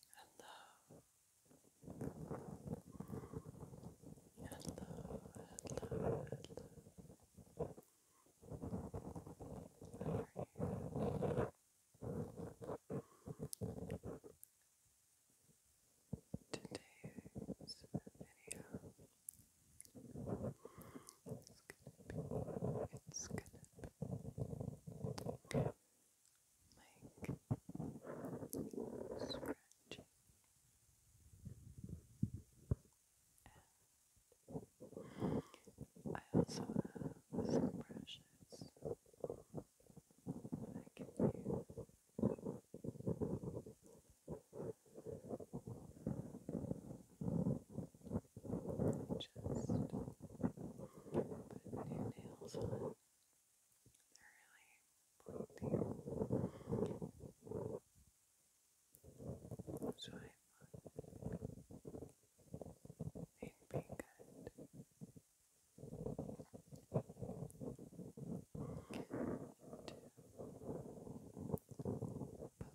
and love and Today's video is gonna be it's gonna scratching and I also have some brushes I can use to just put new nails on. They're really pointy. So I thought they'd good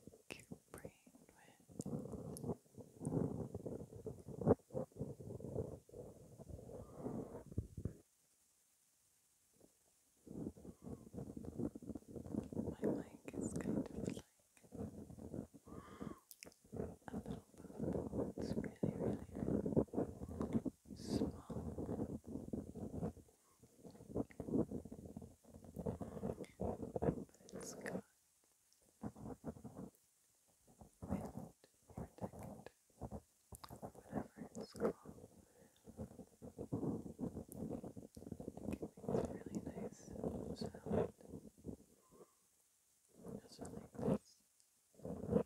to poke my mic is kind of like a little It's really, really small. But it's got wind or ticket, whatever it's called. It makes a really nice sound. Just like this. That's it.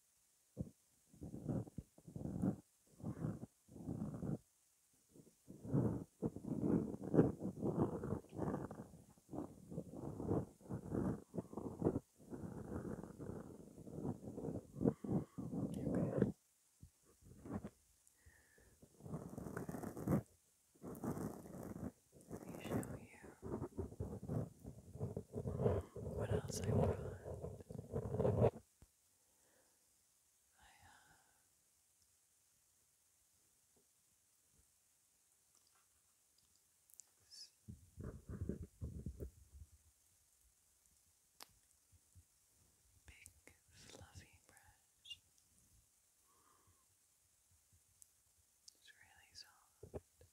Okay. Let me show you what else I want? I, uh, Big fluffy brush. It's really soft.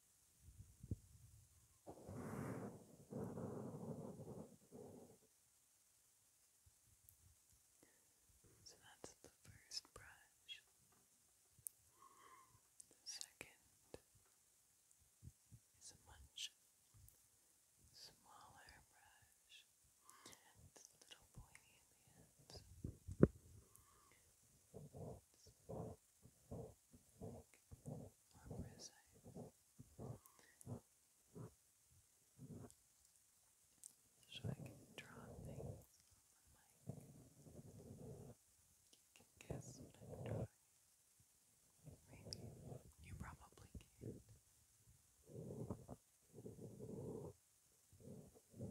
So that's the first brush. The second is a much smaller brush. It's a little pointy at the ends where was I? So I can draw things on my You can guess what I'm drawing. Maybe you probably can't. But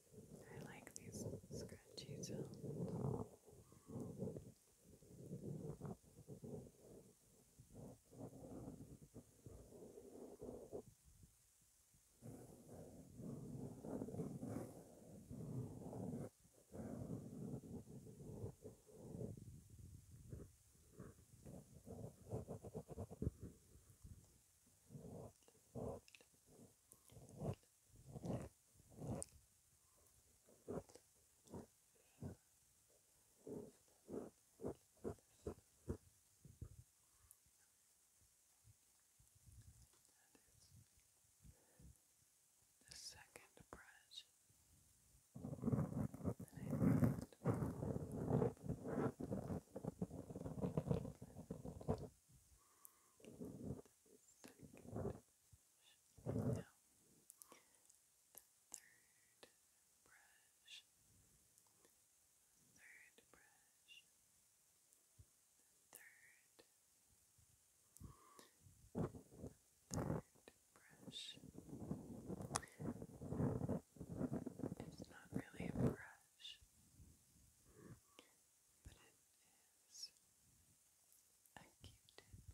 I like these scratchy sounds. The second brush that I found brush. Third brush. Third. Third brush. It's not really a brush, but it is a Q-tip.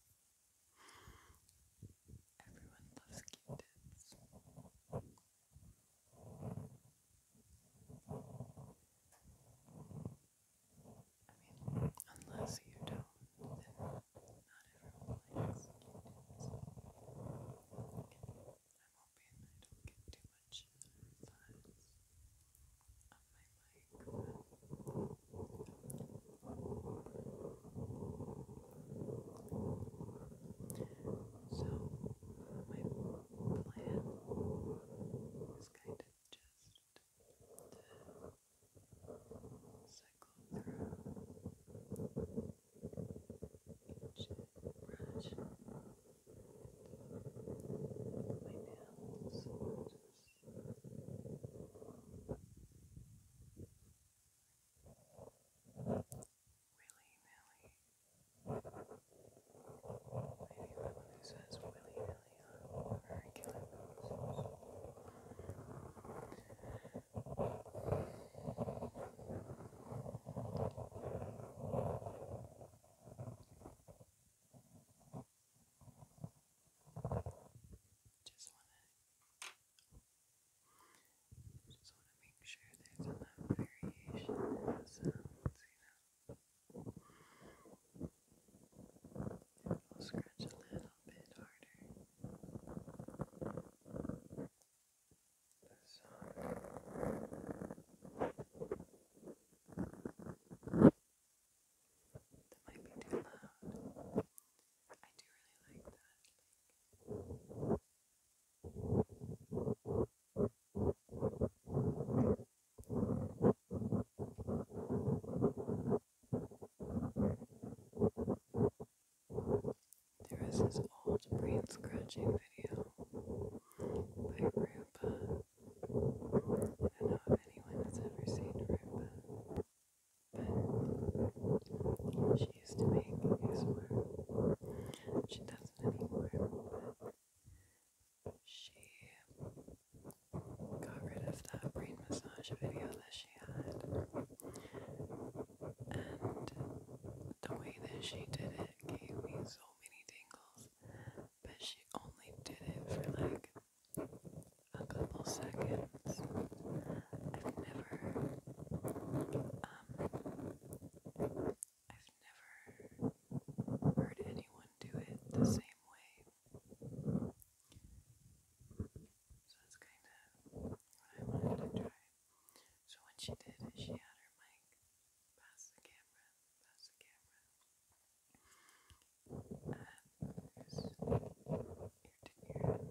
Everyone loves q I mean, unless you don't, not everyone likes q hoping I don't get too much on my mic. So, my plan is kind of just to cycle through each brush Anyone who says willy nilly on regular basis. It's just wanna just wanna make sure there's enough variation in the sounds, you know. And I'll scratch a little bit harder might be too loud. I do really like that. There is this old brain scratching video by Rupa. I don't know if anyone has ever seen Rupa, but she used to make his work. She doesn't anymore, but she got rid of that brain massage video that she had. And the way that she did it gave me so many tingles, but she only did it for like a couple seconds. I've never, um, I've never heard anyone do it the same way. So that's kind of what I wanted to try. So when she did it, she had her mic Pass the camera, pass the camera. And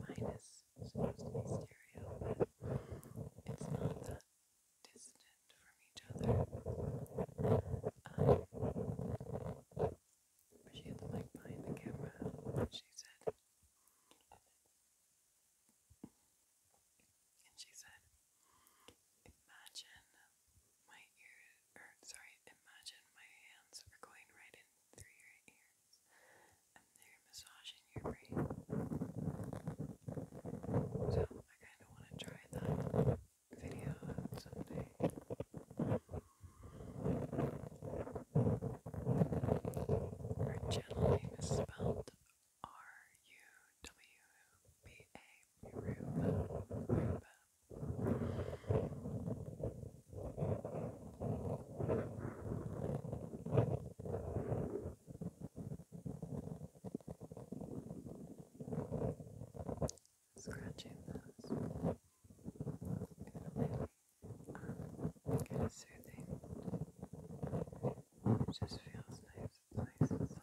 there's your, minus supposed to be stereo, but it's not that distant from each other. she had the mic behind the camera, she said. And she said, Imagine my ear sorry, imagine my hands are going right in through your ears and they're massaging your brain. So I kinda wanna try that video someday. Her gentle name R-U-W-B-A, Ruba, Scratching those. Uh, kind of soothing. It just feels nice, nice and soft.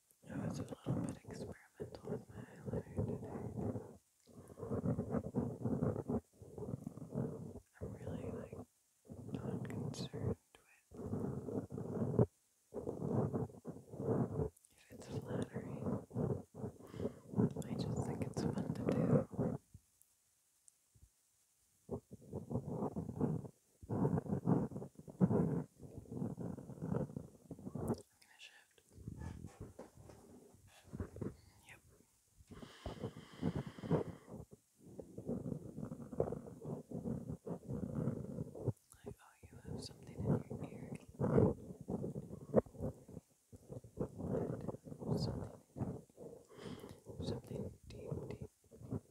I was a little bit experimental with my eyeliner today. I'm really like not concerned with if it's flattering. I just think it's fun to do gonna shift. Yep. Like, oh, you have something in your ear. Good. Something. Something deep, deep.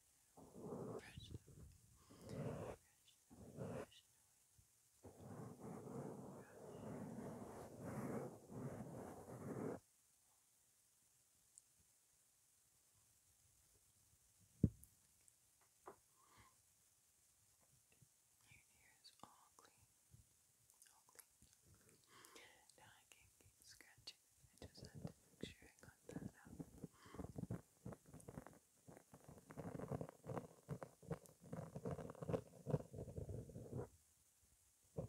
ears all clean. All clean. Now I can keep scratching I just had to make sure I got that out. Just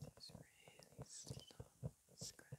really slow scratching.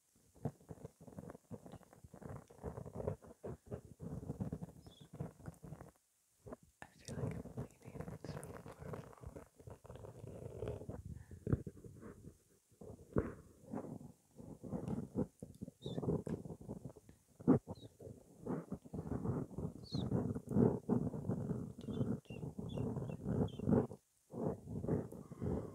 I feel like I'm leaning so far forward. Sweet. Sweet. Sweet.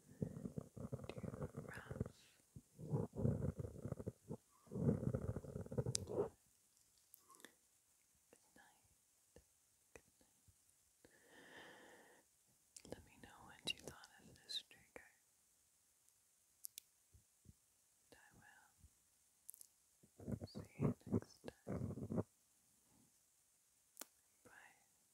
rough. Good night. Good night. Let me know what you thought of this trigger. And I will see you next time. Bye.